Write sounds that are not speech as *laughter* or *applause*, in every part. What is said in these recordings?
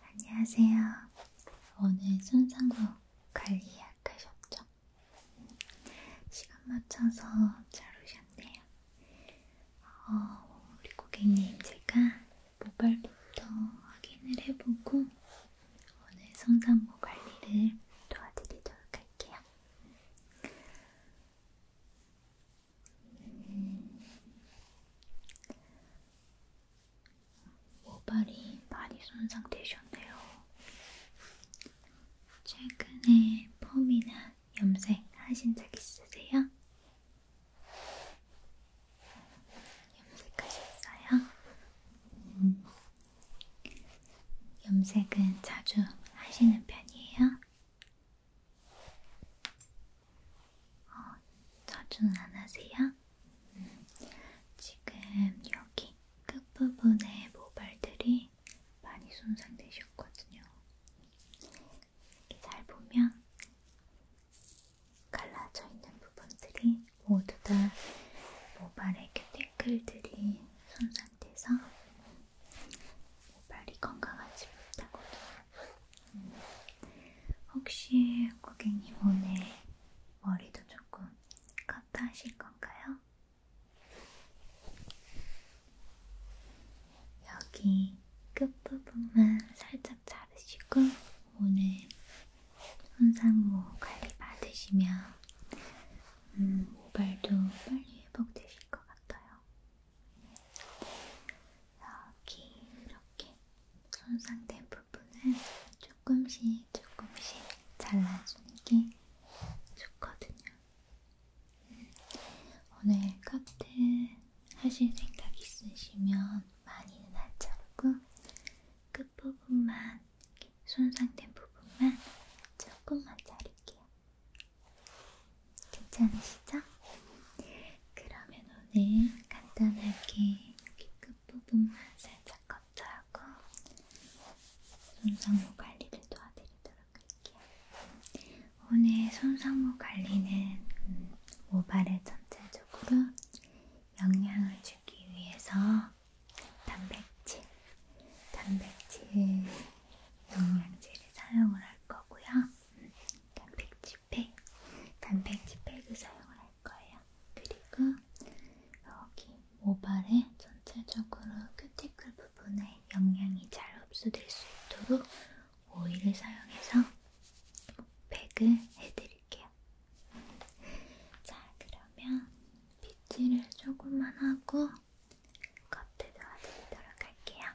안녕하세요. 오늘 손상구 관리학과 셨죠? 시간 맞춰서 잘 오셨네요. 어, 우리 고객님 제가 모발부터 확인을 해보고 오늘 손상구 관리를 도와드리도록 할게요. 모발이 많이 손상되셨네요. 최근에 펌이나 염색 하신 적 있으세요? 염색하셨어요? 음. 염색은 자주 하시는 편이에요? 어, 자주는 안 하세요? 음, 지금 여기 끝부분에 모발들이 많이 손상되셨거든요. 이렇게 잘 보면 갈라져 있는 부분들이 모두 다 모발의 큐티클들이 손상돼서 모발이 건강하지 못하거든요. 혹시 고객님 오늘 머리도 조금 커트 하실 건가요? 여기 끝부분만 살짝 자르시고 오늘 손상모 관리 받으시면 음, 모발도 빨리 회복되실 것 같아요. 여기 이렇게 손상된 부분을 조금씩 조금씩 잘라주는 게 좋거든요. 오늘 커트 하실 생각 있으시면 많이는 안 자르고 끝부분만 손상된 부분만 조금만 자를게요. 괜찮으시죠? 그러면 오늘 간단하게 여기 끝부분만 살짝 컷트하고 손상모 관리를 도와드리도록 할게요. 오늘 손상모 관리는 음, 모발에 전체적으로 영양을 주기 위해서 단백질, 단백질 영양제를 사용을 할 거고요. 단백질팩, 단백질팩을 사용을 할 거예요. 그리고 여기 모발에 전체적으로 큐티클 부분에 영양이 잘 흡수될 수 있도록 오일을 사용해서 팩을 해드릴게요. 자, 그러면 빗질을 조금만 하고 겉에도 와드리도록 할게요.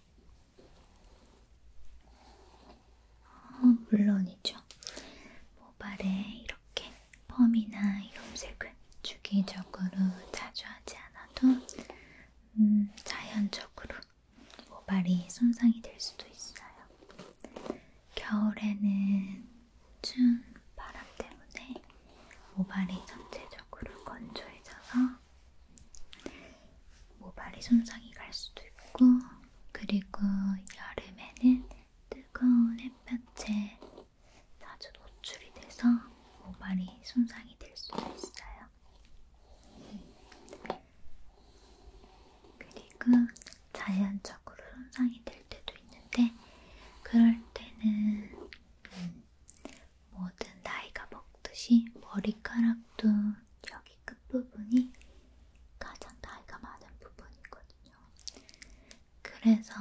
어, 물론이죠. 모발에 이렇게 펌이나 염색을 주기적으로 자주 하지 않아도 음, 자연적으로 모발이 손상이 될 수도 있어요. 겨울에는 추운 바람 때문에 모발이 전체적으로 건조해져서 모발이 뭐 손상이 갈 수도 있고 그리고 여름에는 뜨거운 햇볕에 자주 노출이 돼서 모발이 뭐 손상이 될 수도 있어요. 그리고 자연적으로 손상이 될 때도 있는데 그럴 때는 음, 모든 나이가 먹듯이 머리카락도 여기 여기 그 끝부분이 가장 나이가 많은 부분이거든요. 그래서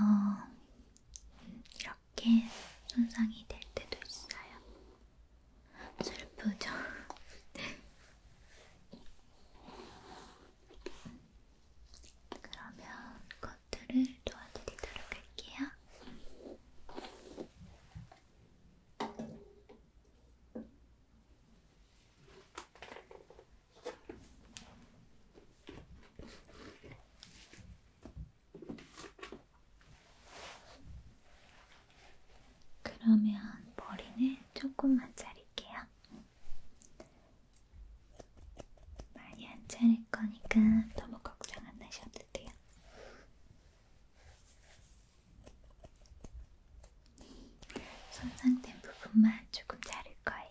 이렇게 손상이 될 때도 있어요. 슬프죠? *laughs* 그러면 커트를 도와드리도록 할게요. 그러면 머리는 조금만 자를게요. 많이 안 자를 거니까 너무 걱정 안 하셔도 돼요. 손상된 부분만 조금 자를 거예요.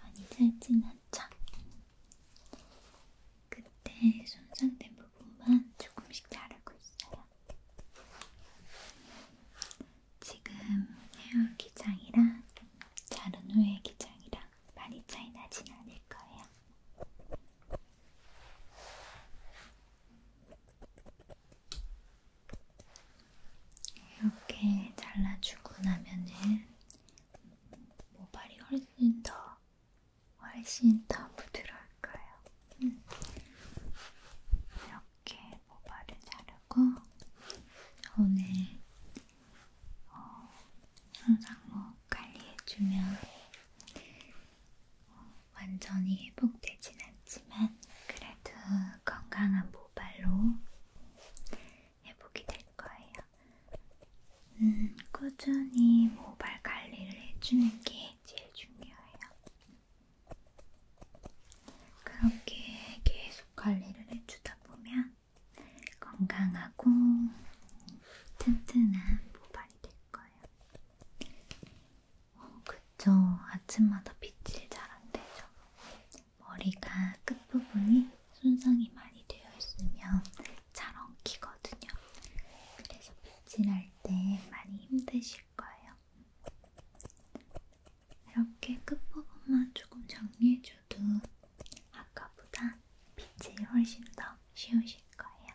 많이 짧진 않죠? 그때 손상된 부분만 조금씩 자르고 있어요. 지금 헤어 기장이랑 자른 후의 기장이랑 거랑 많이 차이 나진 않을 거예요. 이렇게 잘라주고 나면은 모발이 훨씬 더 훨씬 더 부드러울 거예요. 음. 이렇게 모발을 자르고 오늘 어, 항상 뭐 관리해주면 어, 완전히 회복되진 않지만 그래도 건강한 모발로 회복이 될 거예요. 음, 꾸준히 모발 관리를 해주는 게 제일 중요해요. 그렇게 계속 관리를 해주다 보면 건강하고 튼튼한 모발 많이 될 거예요. 어, 그쵸. 아침마다 빗질 잘 안 되죠. 머리가 끝부분이 손상이 많이 되어 있으면 잘 엉키거든요. 그래서 빗질할 때 많이 힘드실 거예요. 이렇게 끝부분만 조금 정리해줘도 아까보다 빗질이 훨씬 더 쉬우실 거예요.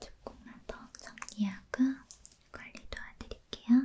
조금만 더 정리하고 관리 도와드릴게요.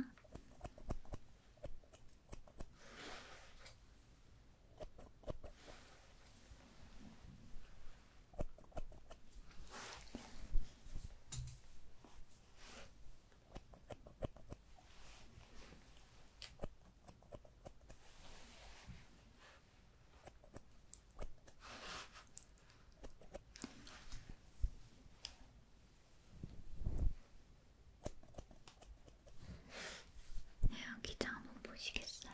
여기장 한번 보시겠어요?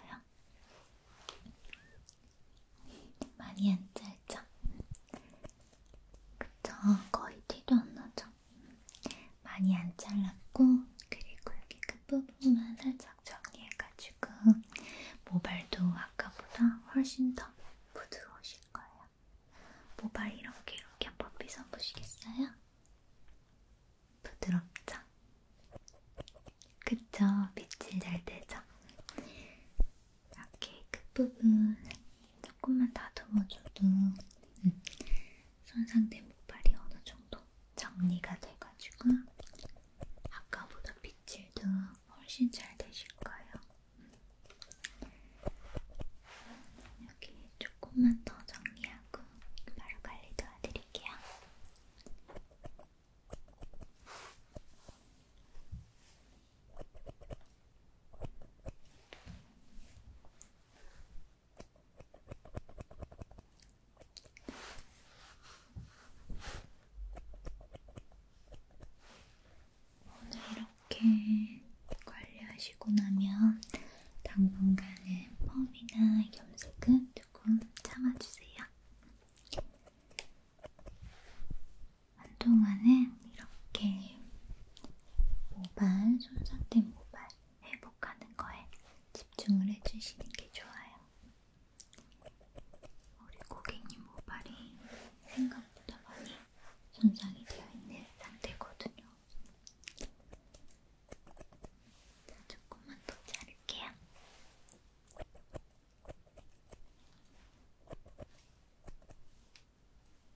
네, 많이 안 짧죠? 그쵸? 거의 티도 안 나죠? 많이 안 잘랐고 그리고 여기 끝부분만 살짝 정리해가지고 모발도 아까보다 훨씬 더 부드러우실 거예요. 모발 이렇게 이렇게 한번 빗어 보시겠어요? 부드럽죠? 그쵸? 빛이 잘 되죠? 이렇게 끝부분 조금만 다듬어줘도 음, 손상된 모발이 어느 정도 정리가 돼가지고 아까보다 빗질도 훨씬 잘 되실 거예요. 음. 여기 조금만 더 정리하고 바로 관리 도와드릴게요. 오늘 이렇게 관리하시고 나면 당분간은 펌이나 염색은 조금 참아주세요. 한동안은 이렇게 모발, 손상된 모발 회복하는 거에 집중을 해주시는 게 좋아요. 우리 고객님 모발이 생각보다 많이 손상이 되어 있는 상태거든요. 자, 조금만 더 자를게요.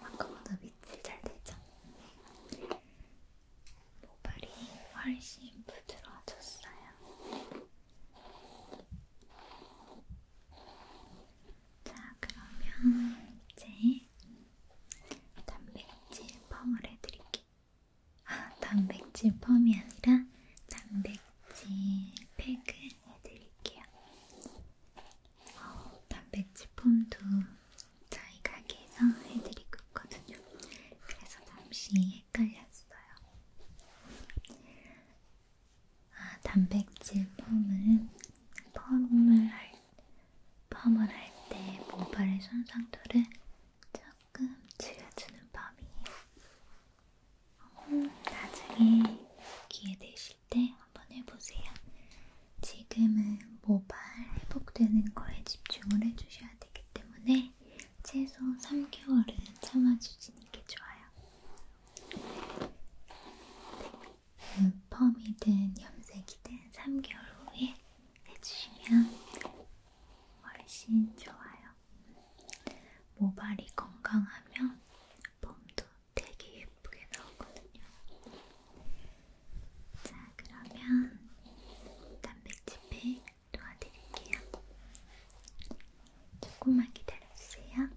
아까보다 밑이 잘 되죠? 모발이 훨씬 부드러워졌어요. 자, 그러면 이제 단백질 펌을 해드릴게요. 아, 단백질 펌이 아니라 단백질 팩을 해드릴게요. 어, 단백질폼도 저희 가게에서 해드리고 있거든요. 그래서 잠시 헷갈렸어요. 아, 단백질 펌은 펌을 할, 펌을 할 때 모발의 손상도를 조금 줄여주는 펌이에요. 음, 어, 나중에 기회 되실 아프실 때 한번 해보세요. 지금은 모발 회복되는 거에 집중을 해주셔야 되기 때문에 최소 3개월은 참아주시는 게 좋아요. 음, 펌이든 염색이든 3개월 후에 해주시면 훨씬 좋아요. 모발이 건강하면 폼도 되게 예쁘게 나오거든요. 자, 그러면 단백질팩 도와드릴게요. 조금만 기다려주세요. 자,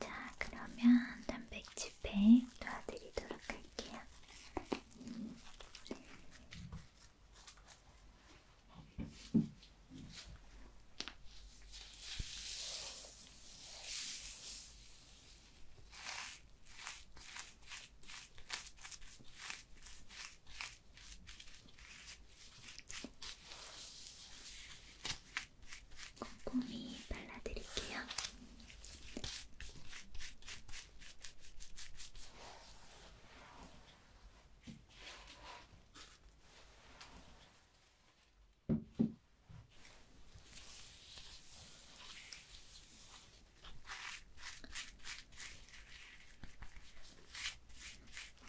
자, 그러면 단백질팩 도와드리도록 할게요. 꼼꼼히 발라드릴게요.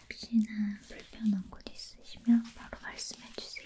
혹시나 불편한 곳 있으시면 바로 말씀해 주세요.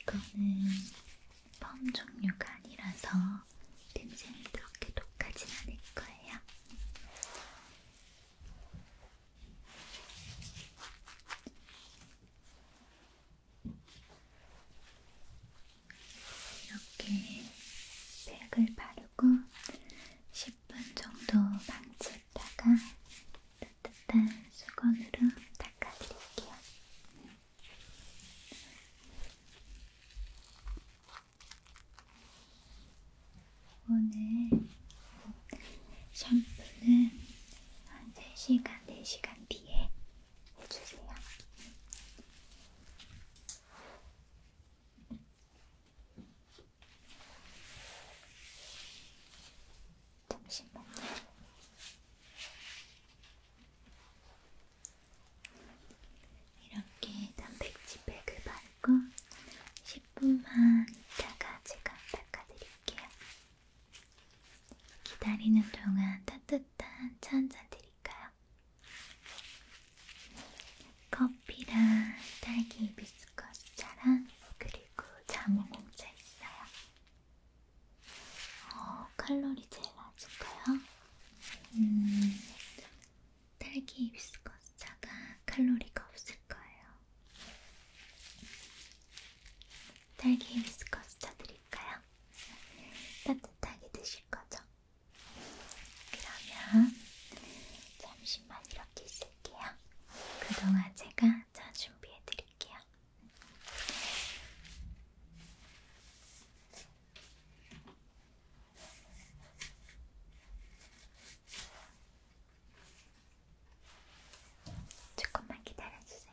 이거는 펌 종류가 아니라서 냄새는 그렇게 독하진 않을 거예요. 이렇게 팩을 바르고 10분 정도 방치했다가 따뜻한 수건으로 닦아드릴게요. 오늘 샴푸는 한 3시간, 4시간 뒤에 해주세요. 잠시만요. 이렇게 단백질팩을 바르고 10분만 있다가 제가 닦아드릴게요. 기다리는 동안 따뜻한 차 한잔 드릴까요? 커피랑 딸기 비스커스차랑 그리고 자몽 공차 있어요. 어, 칼로리 제일 낮을까요? 음, 딸기 비스커스차가 칼로리가 없을 거예요. 딸기 비스커스차 드릴까요? 따뜻하게 드실 거죠? 그러면 잠시만 이렇게 있을게요. 그동안 제가 차 준비해드릴게요. 보여드릴게요. 조금만 기다려주세요.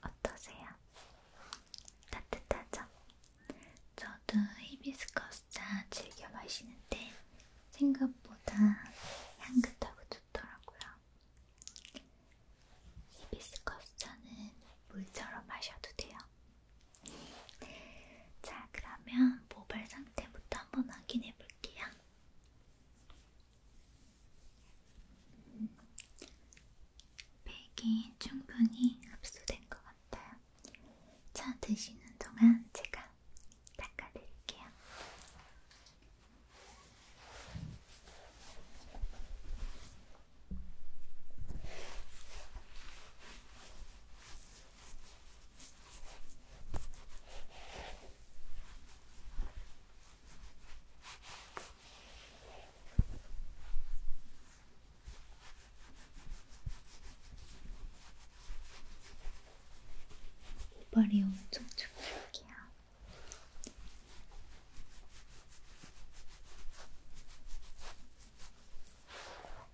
어떠세요? 따뜻하죠? 저도 히비스커스 차 즐겨 마시는데 생각보다 향긋하고 좋더라고요. 히비스커스 차는 물처럼 마셔도 돼요. 자, 그러면 모발 상태부터 한번 확인해 볼게요. 백이 충분히 흡수된 것 같아요. 차 드시는 동안 제가 닦아드릴게요. 자, 이빨이 엄청 촉촉해요.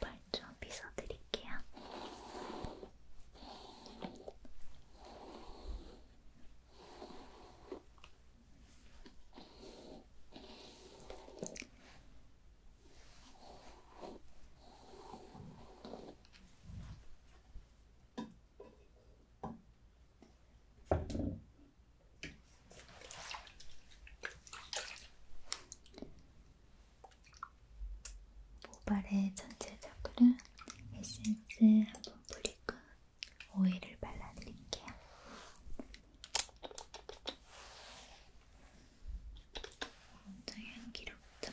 발좀 빗어드릴게요. 네, 모발의 전체 적으로 에센스 한 번 뿌리고 오일을 발라드릴게요. 먼저 향기롭죠?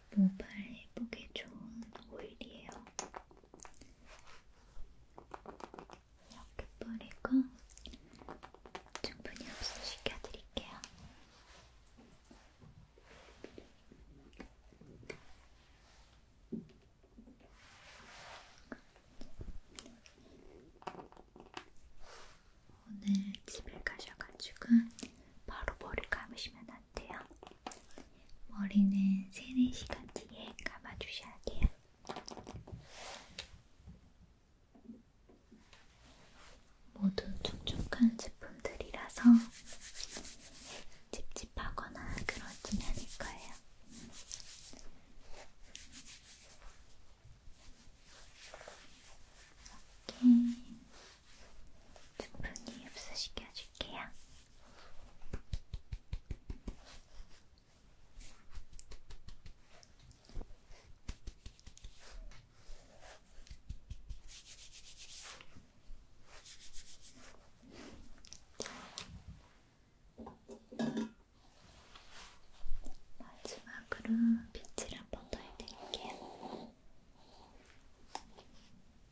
모발 회복에 좋은 오일이에요. 이렇게 뿌리고 충분히 흡수시켜 드릴게요. 오늘 집에 가셔가지고 바로 머리 감으시면 같아요. 머리는 3, 4시간 뒤에 감아주셔야 돼요. 모두 촉촉한 제품들이라서 찝찝하거나 그러진 않을 거예요. 이렇게 충분히 흡수시켜 줄게요. 마지막으로 빛을 한번더 해드릴게요.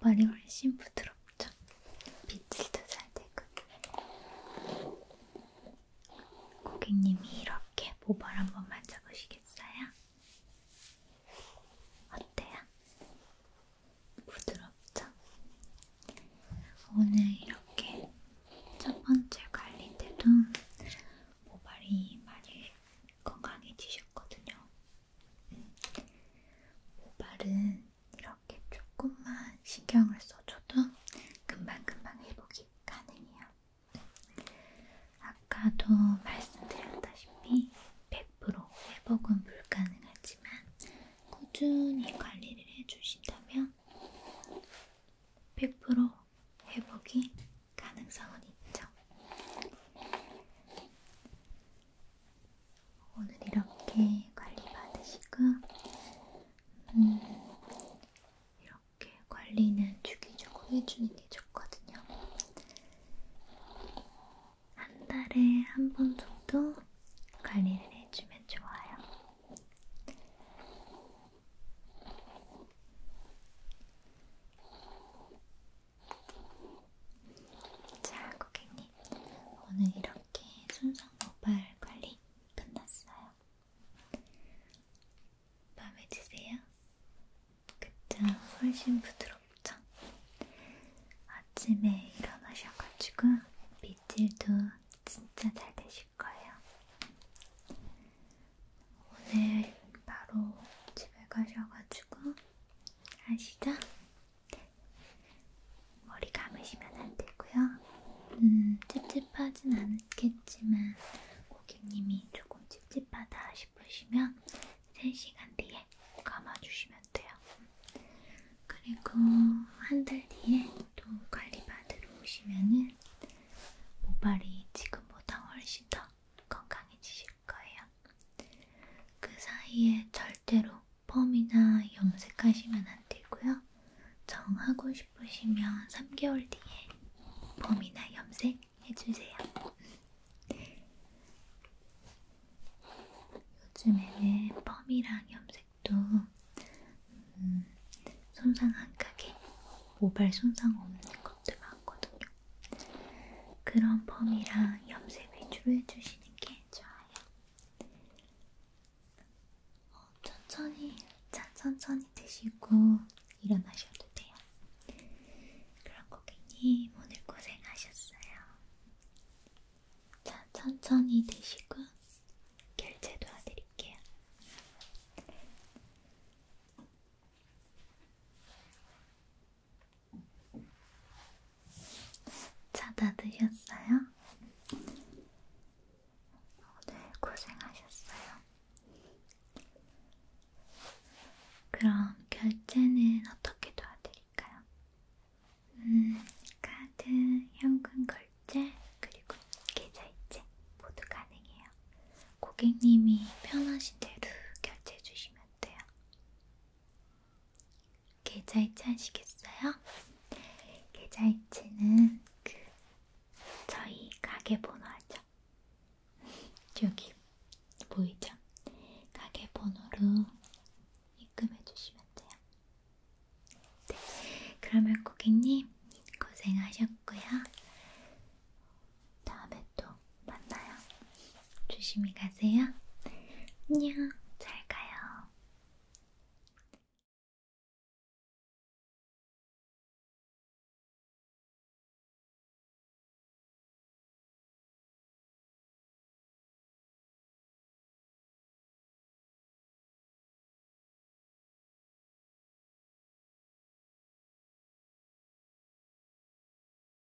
머리 훨씬 부드럽죠? 빗질도 잘 되고 고객님이 이렇게 모발 한번 만져보시겠어요? 어때요? 부드럽죠? 오늘 이렇게 첫 번째 관리 때도 모발이 많이 건강해지셨거든요. 모발은 이렇게 조금만 신경을 써줘도 금방금방 회복이 가능해요. 아까도 말씀드렸다시피 100% 회복은 불가능하지만 꾸준히 관리를 해주신다면 100% 회복이 가능성은 있죠. 오늘 이렇게 관리 받으시고 음, 이렇게 관리는 주기적으로 해주는 게 좋거든요. 한 달에 한 번 정도 관리를 해주면 좋아요. 자, 고객님. 오늘 이렇게 순정 모발 관리 끝났어요. 마음에 드세요? 그쵸? 훨씬 부드럽죠? 아침에 일어나셔가지고 빗질도 진짜 잘 되실 거예요. 오늘 바로 집에 가셔가지고 아시죠? 네. 머리 감으시면 안 되고요. 음, 찝찝하진 않겠지만 고객님이 조금 찝찝하다 싶으시면 3시간 뒤에 감아주시면 돼요. 그리고 한 달 뒤에 또 관리 받으러 오시면은 모발이 지금보다 훨씬 더 건강해지실 주실 거예요. 그 사이에 절대로 펌이나 염색하시면 안 되고요. 정하고 싶으시면 3개월 뒤에 펌이나 염색 해주세요. 요즘에는 펌이랑 염색도 음, 손상 안 가게 모발 손상 없는 것도 많거든요. 그런 펌이랑 염색 위주로 해주시는 게 좋아요. 어, 천천히, 자, 천천히 드시고 일어나셔도 돼요. 그럼 고객님 오늘 고생하셨어요. 자, 천천히 드시고 결제 도와드릴게요. 차다 드셨어요? 오늘 고생하셨어요. 그럼 결제는 어떻게 도와드릴까요? 음, 카드, 현금 결제, 그리고 계좌이체 모두 가능해요. 고객님이 편하신 대로 결제해 주시면 돼요. 계좌이체 하시겠어요? 계좌이체는 그 저희 가게 번호죠. *laughs* 여기 보이죠? 가게 번호로 입금해 주시면 돼요. 네, 그러면 고객님 고생하셨고요. 다음에 또 만나요. 조심히 가세요. 안녕, 잘 가요.